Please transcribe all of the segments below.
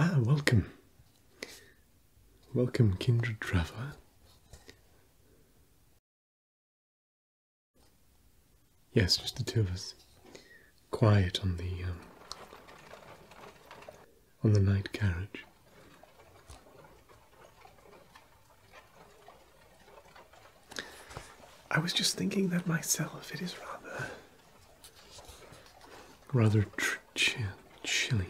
Ah, welcome. Welcome, kindred traveller. Yes, just the two of us. Quiet on the um, on the night carriage. I was just thinking that myself. It is rather, rather chilly.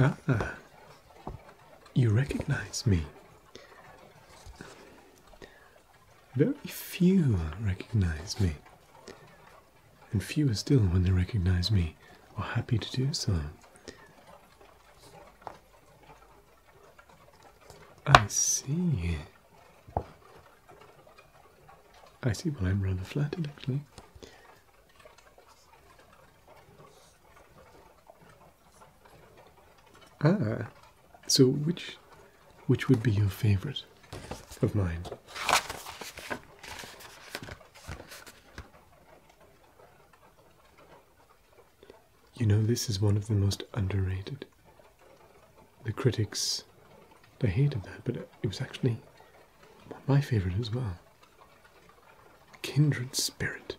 Ah, you recognize me. Very few recognize me, and fewer still, when they recognize me, are happy to do so. I see. I see. Well, I'm rather flattered, actually. Ah, so which, which would be your favorite of mine? You know, this is one of the most underrated. The critics, they hated that, but it was actually my favorite as well. Kindred Spirit.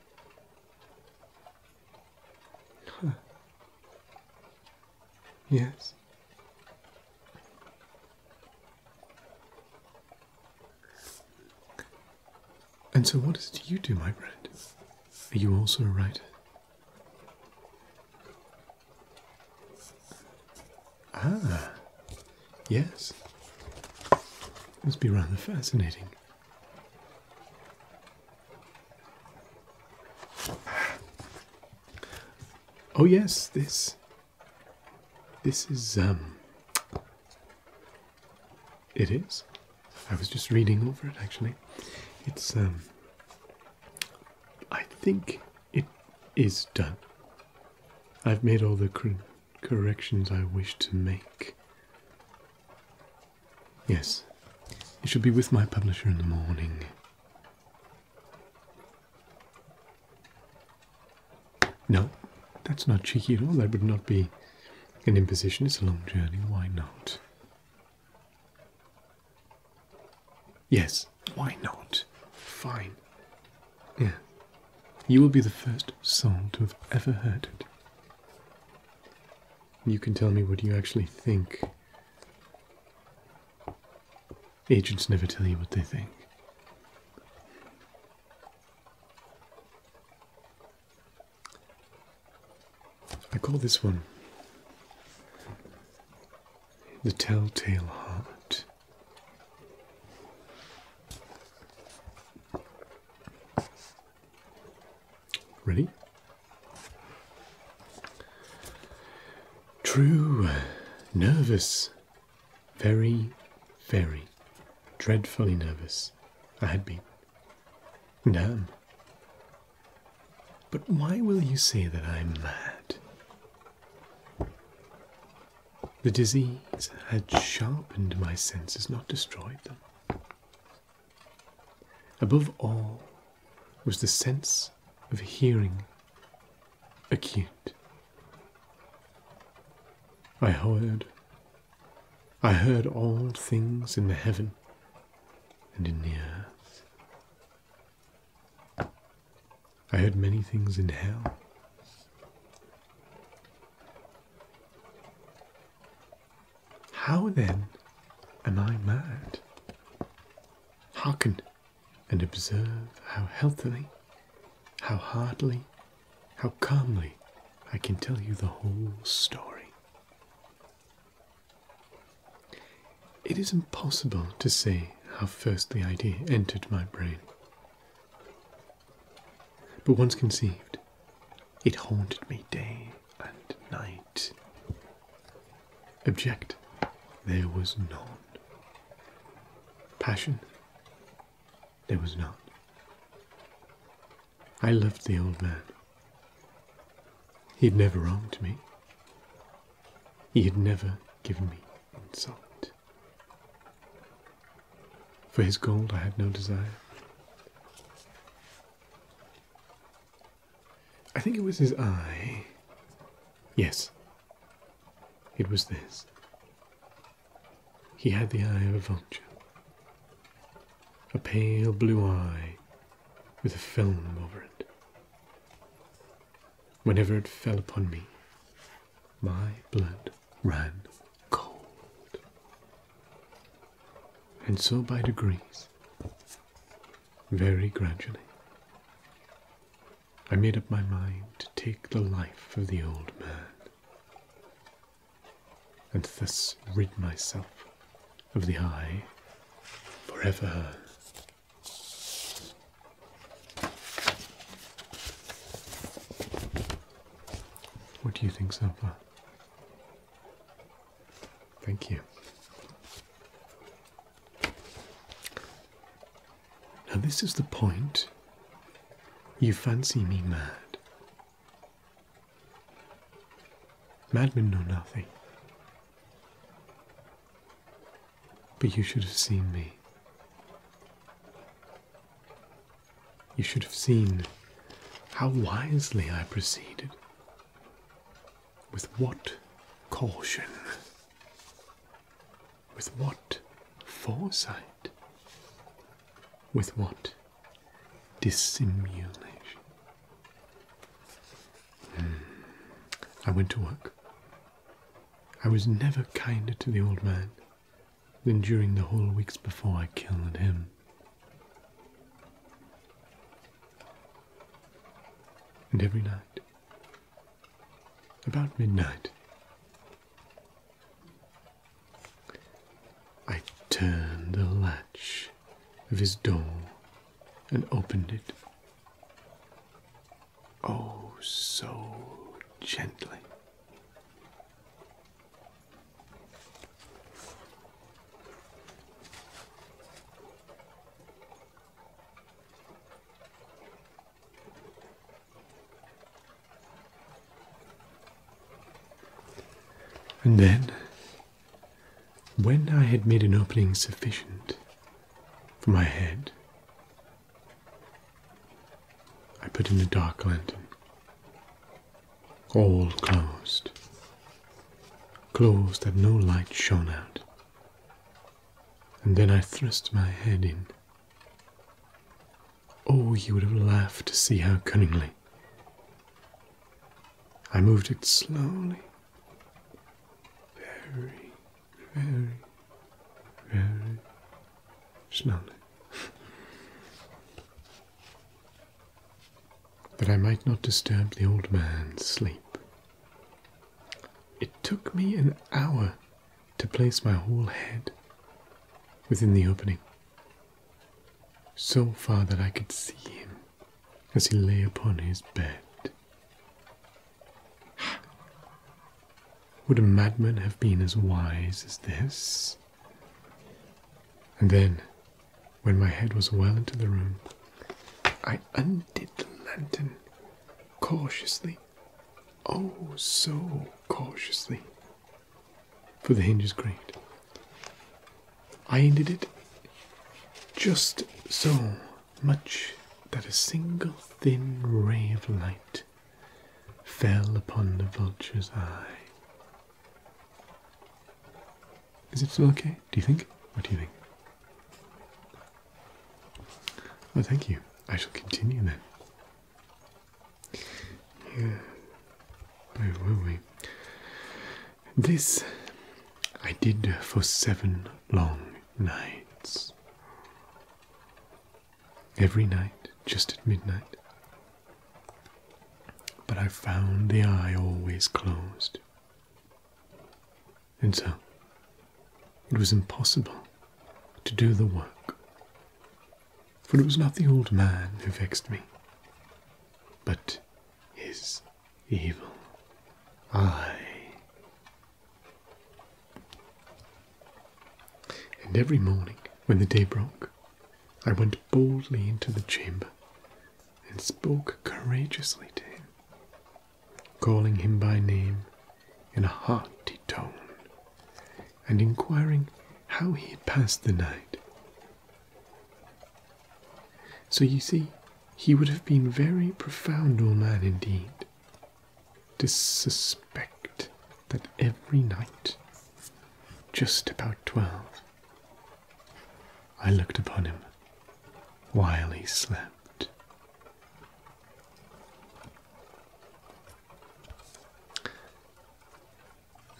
Yes. And so, what is it you do, my friend? Are you also a writer? Ah, yes. Must be rather fascinating. Oh yes, this. This is um. It is. I was just reading over it actually. It's um, I think it is done. I've made all the corrections I wish to make. Yes. It should be with my publisher in the morning. No, that's not cheeky at all. That would not be an imposition It's a long journey, why not? Yes, why not? Fine. Yeah. You will be the first soul to have ever heard it. You can tell me what you actually think. Agents never tell you what they think. I call this one the Telltale Heart. Ready? True, nervous, very, very dreadfully nervous. I had been. Damn. But why will you say that I'm mad? The disease had sharpened my senses, not destroyed them. Above all was the sense of hearing acute. I heard, I heard all things in the heaven and in the earth. I heard many things in hell. How then am I mad? Hearken and observe how healthily, how heartily, how calmly I can tell you the whole story. It is impossible to say how first the idea entered my brain. But once conceived, it haunted me day and night. Object, there was none. Passion, there was none. I loved the old man. He had never wronged me. He had never given me insult. For his gold I had no desire. I think it was his eye. Yes, it was this. He had the eye of a vulture a pale blue eye with a film over it. Whenever it fell upon me, my blood ran cold. And so by degrees, very gradually, I made up my mind to take the life of the old man and thus rid myself of the eye forever. What do you think so Thank you. Now, this is the point. You fancy me mad, Madmen know nothing. But you should have seen me. You should have seen how wisely I proceeded. With what caution. With what foresight. With what Dissimulation. Hmm. I went to work. I was never kinder to the old man than during the whole weeks before I killed him. And every night, about midnight, I turned the latch of his dome and opened it. Oh, so gently. And then when I had made an opening sufficient for my head, I put in a dark lantern, all closed, closed that no light shone out, and then I thrust my head in. Oh, you would have laughed to see how cunningly. I moved it slowly very, very, very slowly, that I might not disturb the old man's sleep. It took me an hour to place my whole head within the opening, so far that I could see him as he lay upon his bed. Would a madman have been as wise as this? And then, when my head was well into the room, I undid the lantern cautiously, oh so cautiously, for the hinges creaked. I ended it just so much that a single thin ray of light fell upon the vulture's eye. Is it still okay? Do you think? What do you think? Oh, thank you. I shall continue then. Where were we? This I did for seven long nights. Every night, just at midnight. But I found the eye always closed. And so, it was impossible to do the work. For it was not the old man who vexed me, but his evil eye. And every morning, when the day broke, I went boldly into the chamber and spoke courageously to him, calling him by name in a hearty tone, and inquiring how he had passed the night so you see, he would have been very profound old man indeed to suspect that every night, just about twelve, I looked upon him while he slept.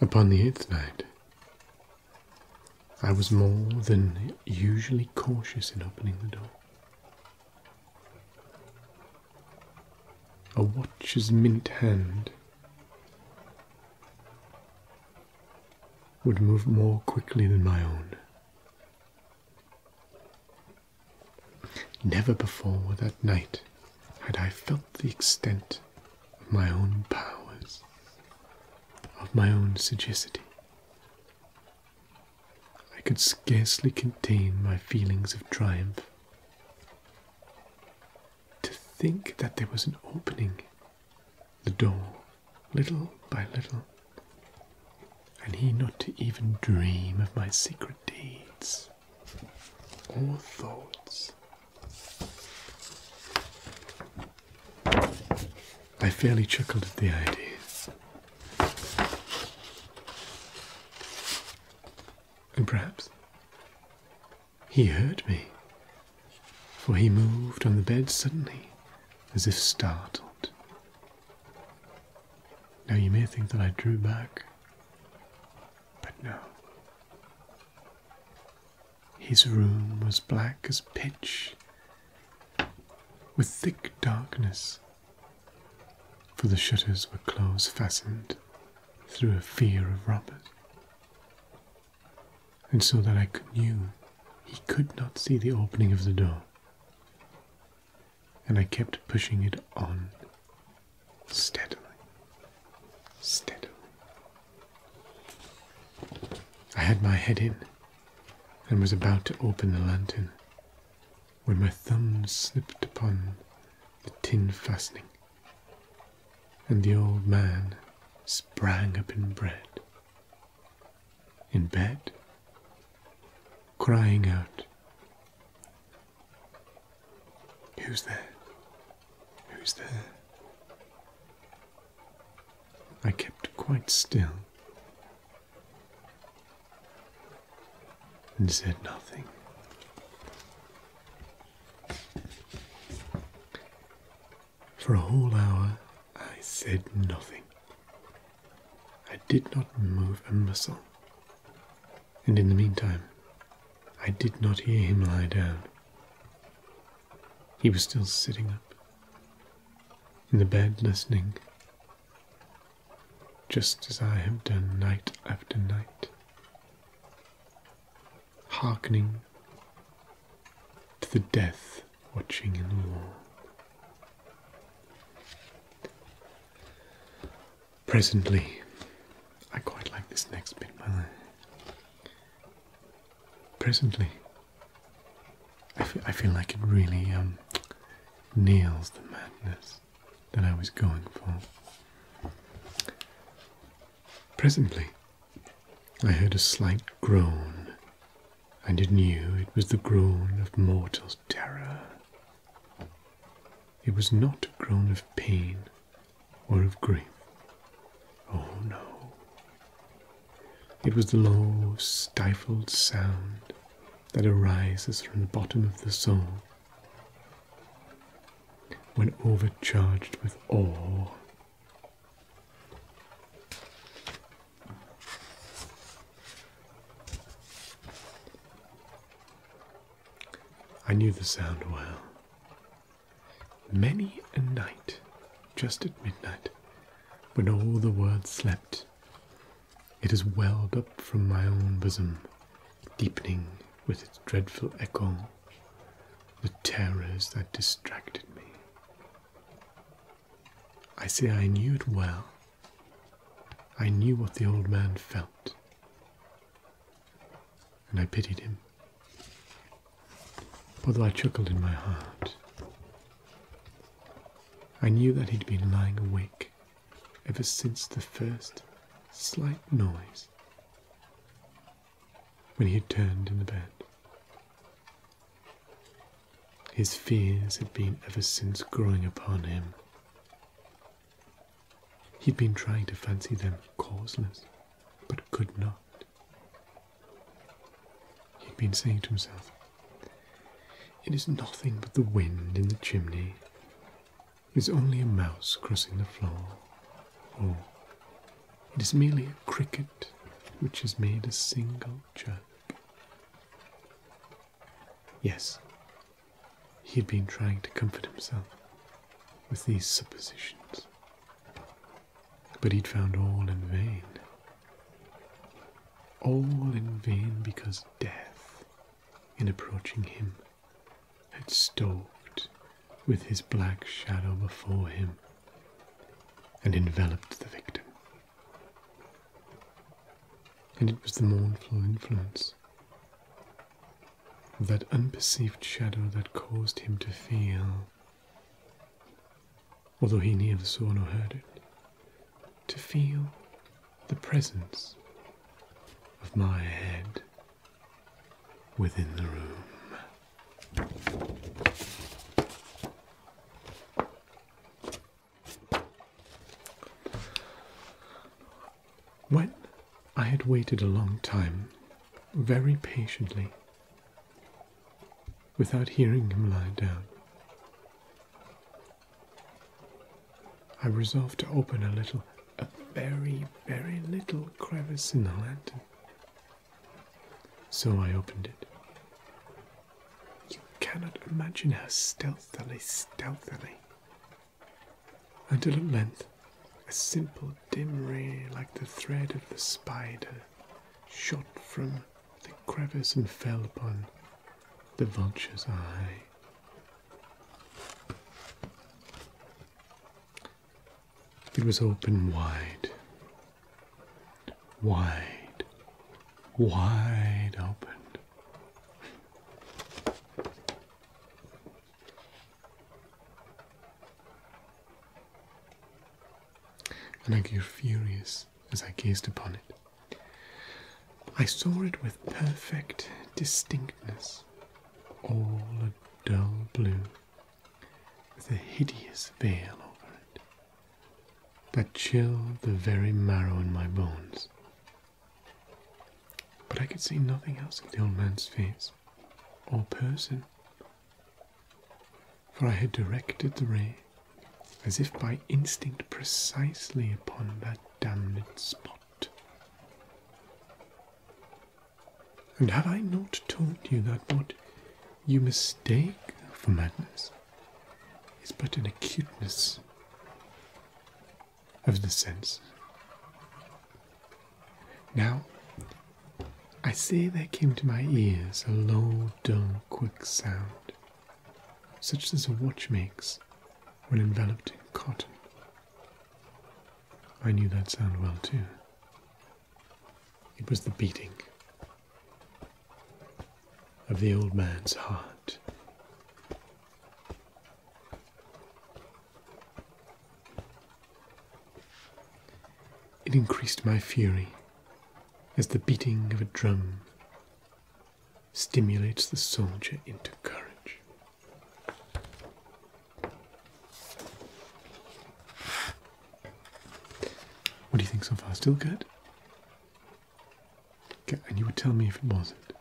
Upon the eighth night, I was more than usually cautious in opening the door. A watcher's mint hand would move more quickly than my own. Never before that night had I felt the extent of my own powers of my own sagacity. I could scarcely contain my feelings of triumph. To think that there was an opening, the door, little by little, and he not to even dream of my secret deeds or thoughts. I fairly chuckled at the idea. And perhaps he heard me, for he moved on the bed suddenly, as if startled. Now you may think that I drew back, but no. His room was black as pitch, with thick darkness, for the shutters were close fastened through a fear of robbers, and so that I knew he could not see the opening of the door, and I kept pushing it on steadily, steadily. I had my head in and was about to open the lantern when my thumb slipped upon the tin fastening, and the old man sprang up in bed, in bed, crying out, Who's there? Who's there? I kept quite still and said nothing. For a whole hour, I said nothing. I did not move a muscle. And in the meantime, I did not hear him lie down. He was still sitting up, in the bed listening, just as I have done night after night, hearkening to the death watching in the wall. Presently, I quite like this next bit, Presently, I feel, like it really um, nails the madness that I was going for. Presently, I heard a slight groan, and it knew it was the groan of mortal terror. It was not a groan of pain or of grief. Oh no. It was the low, stifled sound that arises from the bottom of the soul when overcharged with awe. I knew the sound well. Many a night, just at midnight, when all the world slept, it has welled up from my own bosom, deepening with its dreadful echo the terrors that distracted me. I say I knew it well. I knew what the old man felt, and I pitied him, although I chuckled in my heart. I knew that he'd been lying awake ever since the first slight noise when he had turned in the bed. His fears had been ever since growing upon him. He'd been trying to fancy them causeless, but could not. He'd been saying to himself, it is nothing but the wind in the chimney. It is only a mouse crossing the floor. Or oh, it is merely a cricket which has made a single chirp. Yes, he had been trying to comfort himself with these suppositions. But he'd found all in vain. All in vain because death, in approaching him, had stalked with his black shadow before him and enveloped the victim. And it was the mournful influence of that unperceived shadow that caused him to feel although he neither saw nor heard it, to feel the presence of my head within the room. When I had waited a long time, very patiently, without hearing him lie down, I resolved to open a little, a very, very little crevice in the lantern. So I opened it. You cannot imagine how stealthily, stealthily. Until at length, a simple dim ray like the thread of the spider shot from the crevice and fell upon the vulture's eye. It was open wide, wide, wide open. And I grew furious as I gazed upon it. I saw it with perfect distinctness, all a dull blue, with a hideous veil over it, that chilled the very marrow in my bones. But I could see nothing else of the old man's face or person, for I had directed the ray as if by instinct, precisely upon that damned spot. And have I not told you that what you mistake for madness is but an acuteness of the sense? Now, I say there came to my ears a low, dull, quick sound, such as a watch makes when enveloped in cotton. I knew that sound well too. It was the beating of the old man's heart. It increased my fury as the beating of a drum stimulates the soldier into courage. What do you think so far? Still good? and you would tell me if it wasn't.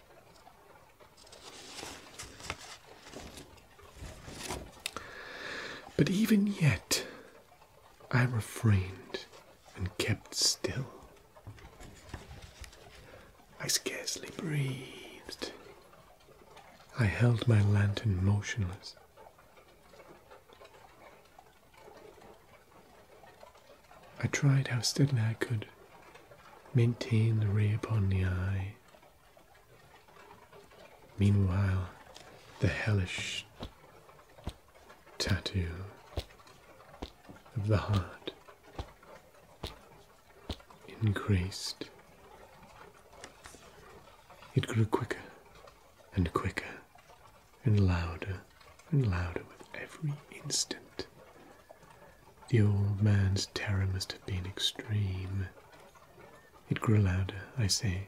But even yet, I refrained and kept still. I scarcely breathed. I held my lantern motionless. I tried how steadily I could maintain the ray upon the eye. Meanwhile, the hellish tattoo of the heart increased. It grew quicker and quicker and louder and louder with every instant. The old man's terror must have been extreme. It grew louder, I say,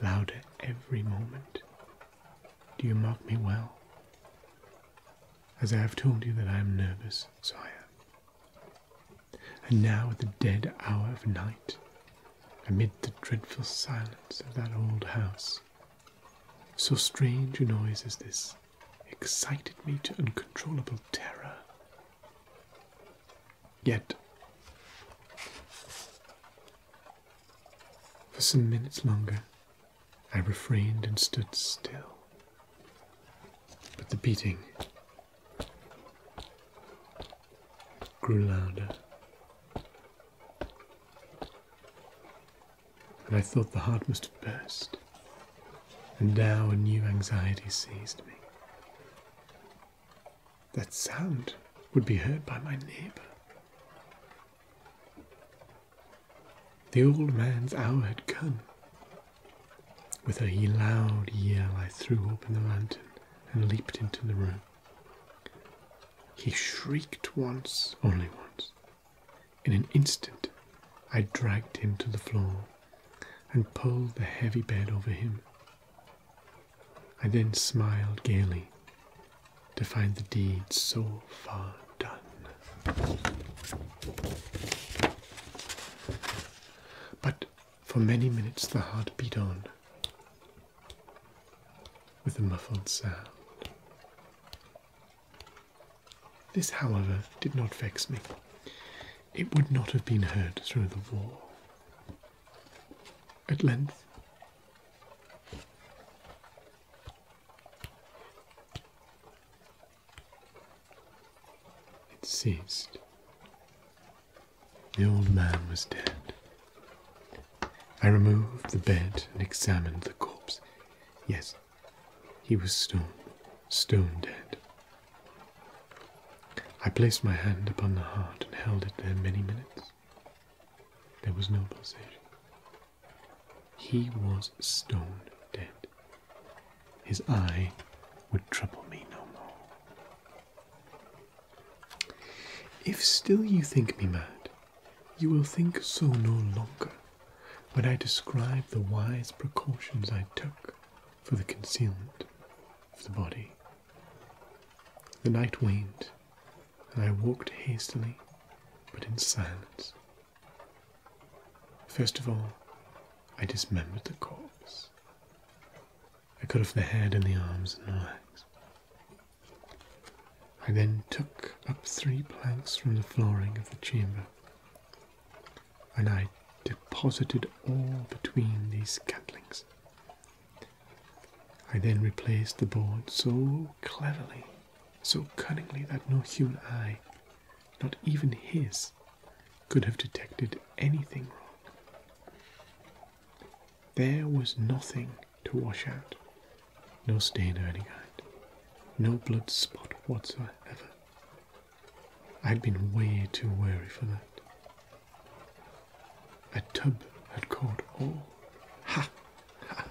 louder every moment. Do you mark me well? As I have told you that I am nervous, sire. And now, at the dead hour of night, amid the dreadful silence of that old house, so strange a noise as this excited me to uncontrollable terror. Yet, for some minutes longer, I refrained and stood still. But the beating grew louder. And I thought the heart must have burst. And now a new anxiety seized me. That sound would be heard by my neighbor. The old man's hour had come. With a loud yell, I threw open the lantern and leaped into the room. He shrieked once, only once. In an instant, I dragged him to the floor and pulled the heavy bed over him. I then smiled gaily to find the deed so far done. But for many minutes the heart beat on with a muffled sound. This, however, did not vex me. It would not have been heard through the wall. At length, it ceased. The old man was dead. I removed the bed and examined the corpse. Yes, he was stone, stone dead. I placed my hand upon the heart and held it there many minutes. There was no pulsation. He was stone dead. His eye would trouble me no more. If still you think me mad, you will think so no longer when I describe the wise precautions I took for the concealment of the body. The night waned, and I walked hastily, but in silence, First of all, I dismembered the corpse. I cut off the head and the arms and legs. I then took up three planks from the flooring of the chamber, and I deposited all between these scantlings. I then replaced the board so cleverly so cunningly that no human eye, not even his, could have detected anything wrong. There was nothing to wash out, no stain of any kind, no blood spot whatsoever. I'd been way too wary for that. A tub had caught all. Ha! Ha!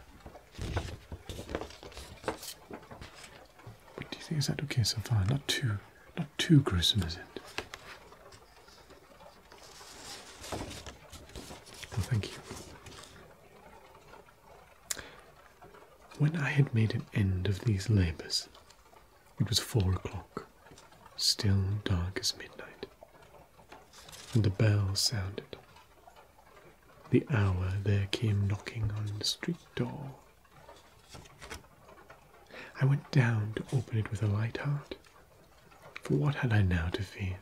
do you think is that okay so far? Not too not too gruesome, is it? thank you. When I had made an end of these labours, it was four o'clock, still dark as midnight, and the bell sounded the hour there came knocking on the street door. I went down to open it with a light heart, for what had I now to fear?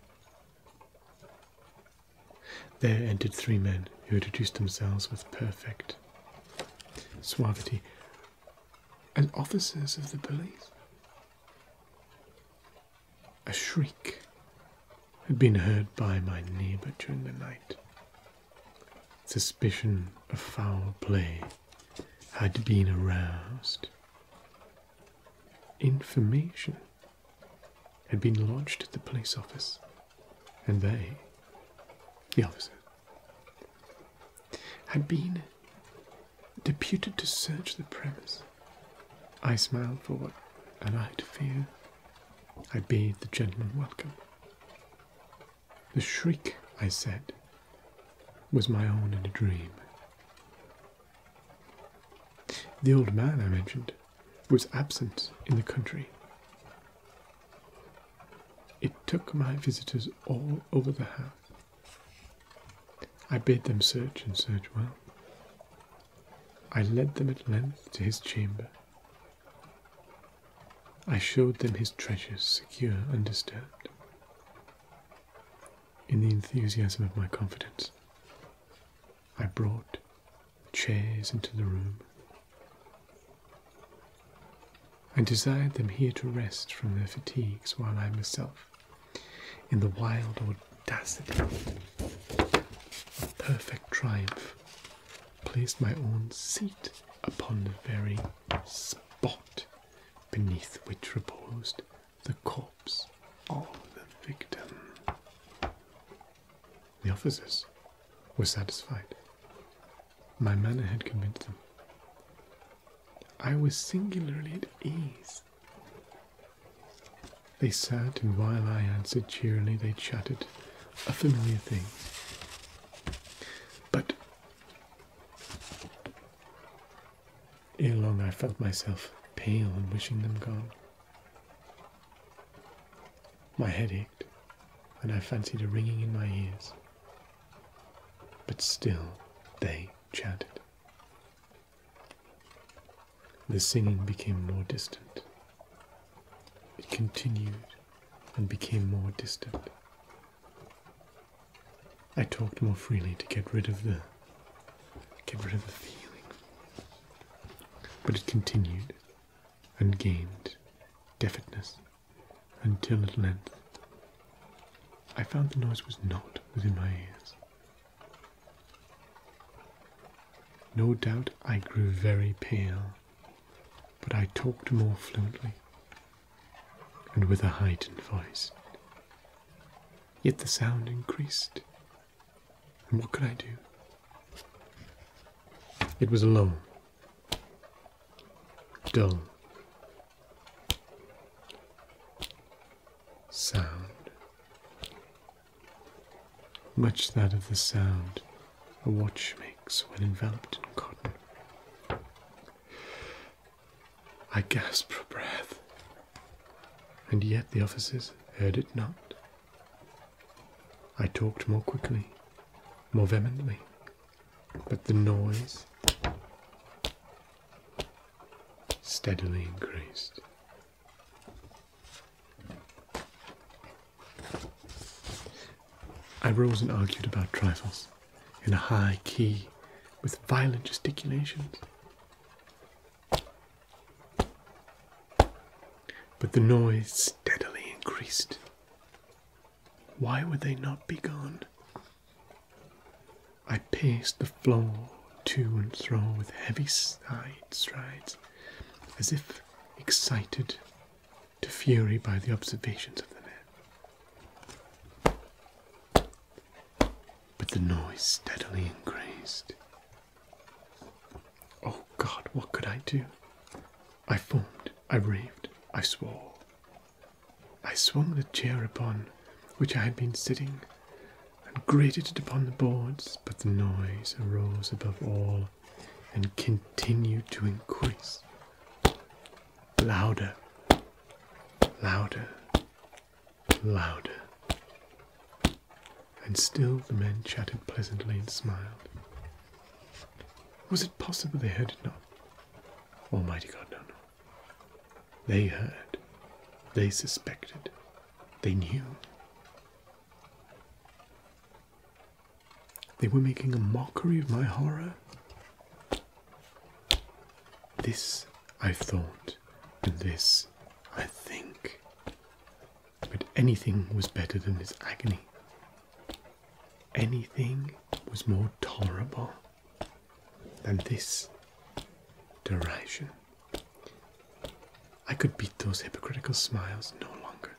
There entered three men who introduced themselves with perfect suavity as officers of the police. A shriek had been heard by my neighbour during the night. Suspicion of foul play had been aroused. Information had been lodged at the police office, and they, the officer, had been deputed to search the premises. I smiled for what, and I'd fear, I bade the gentleman welcome. The shriek, I said, was my own in a dream. The old man, I mentioned, was absent in the country. It took my visitors all over the house. I bade them search and search well. I led them at length to his chamber, I showed them his treasures secure, undisturbed. In the enthusiasm of my confidence, I brought chairs into the room. and desired them here to rest from their fatigues while I myself, in the wild audacity of perfect triumph, placed my own seat upon the very spot beneath which reposed the corpse of the victim. The officers were satisfied. My manner had convinced them. I was singularly at ease. They sat, and while I answered cheerily, they chatted a familiar thing. But ere long I felt myself pale and wishing them gone. My head ached, and I fancied a ringing in my ears. But still they chanted. The singing became more distant it continued and became more distant. I talked more freely to get rid of the get rid of the feeling. But it continued and gained deafness until at length I found the noise was not within my ears. No doubt I grew very pale but I talked more fluently and with a heightened voice. Yet the sound increased, and what could I do? It was alone. dull, sound much that of the sound a watch makes when enveloped in cotton. I gasped for breath, and yet the officers heard it not. I talked more quickly, more vehemently, but the noise steadily increased. I rose and argued about trifles in a high key with violent gesticulations. But the noise steadily increased. Why would they not be gone? I paced the floor to and fro with heavy side strides, as if excited to fury by the observations of the men. But the noise steadily increased. Oh God, what could I do? I foamed, I raved, I swore. I swung the chair upon which I had been sitting and grated it upon the boards, but the noise arose above all and continued to increase. Louder, louder, louder. And still the men chatted pleasantly and smiled. Was it possible they heard it not? Almighty God, no, no. They heard, they suspected, they knew. They were making a mockery of my horror. This I thought, and this I think. But anything was better than this agony. Anything was more tolerable than this derision. I could beat those hypocritical smiles no longer.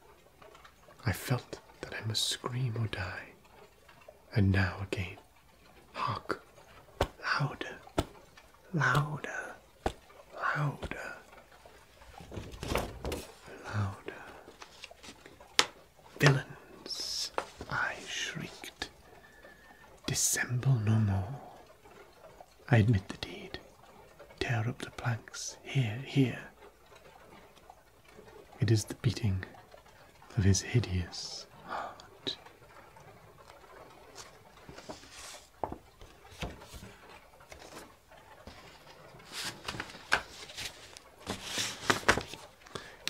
I felt that I must scream or die. And now again, hark, louder, louder, louder, louder. Villains, I shrieked. Dissemble no more. I admit the deed. Tear up the planks. Here, here. It is the beating of his hideous heart.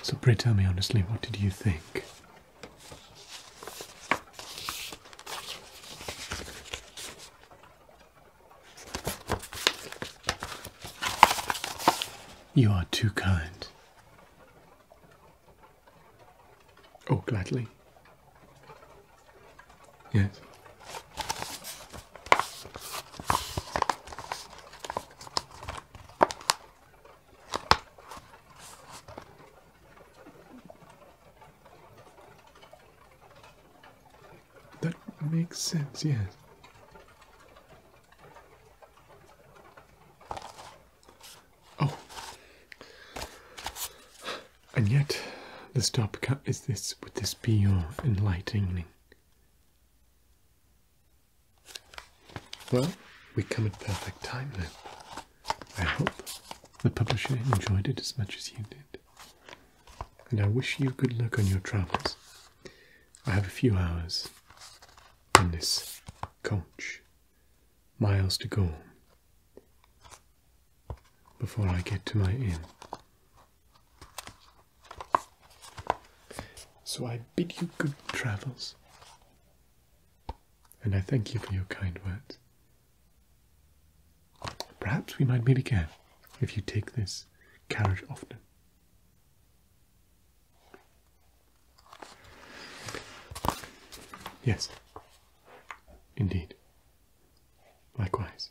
So, pray tell me honestly, what did you think? You are too kind. Oh, gladly. Yes. That makes sense, yes. Oh. And yet, the stopcut is this, would this be enlightening? Well, we come at perfect time then. I hope the publisher enjoyed it as much as you did. And I wish you good luck on your travels. I have a few hours in this coach, miles to go, before I get to my inn. So I bid you good travels, and I thank you for your kind words. Perhaps we might meet again if you take this carriage often. Yes, indeed. Likewise.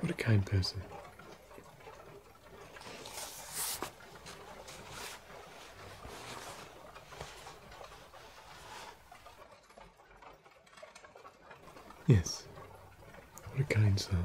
What a kind person. Yes. What a kind soul.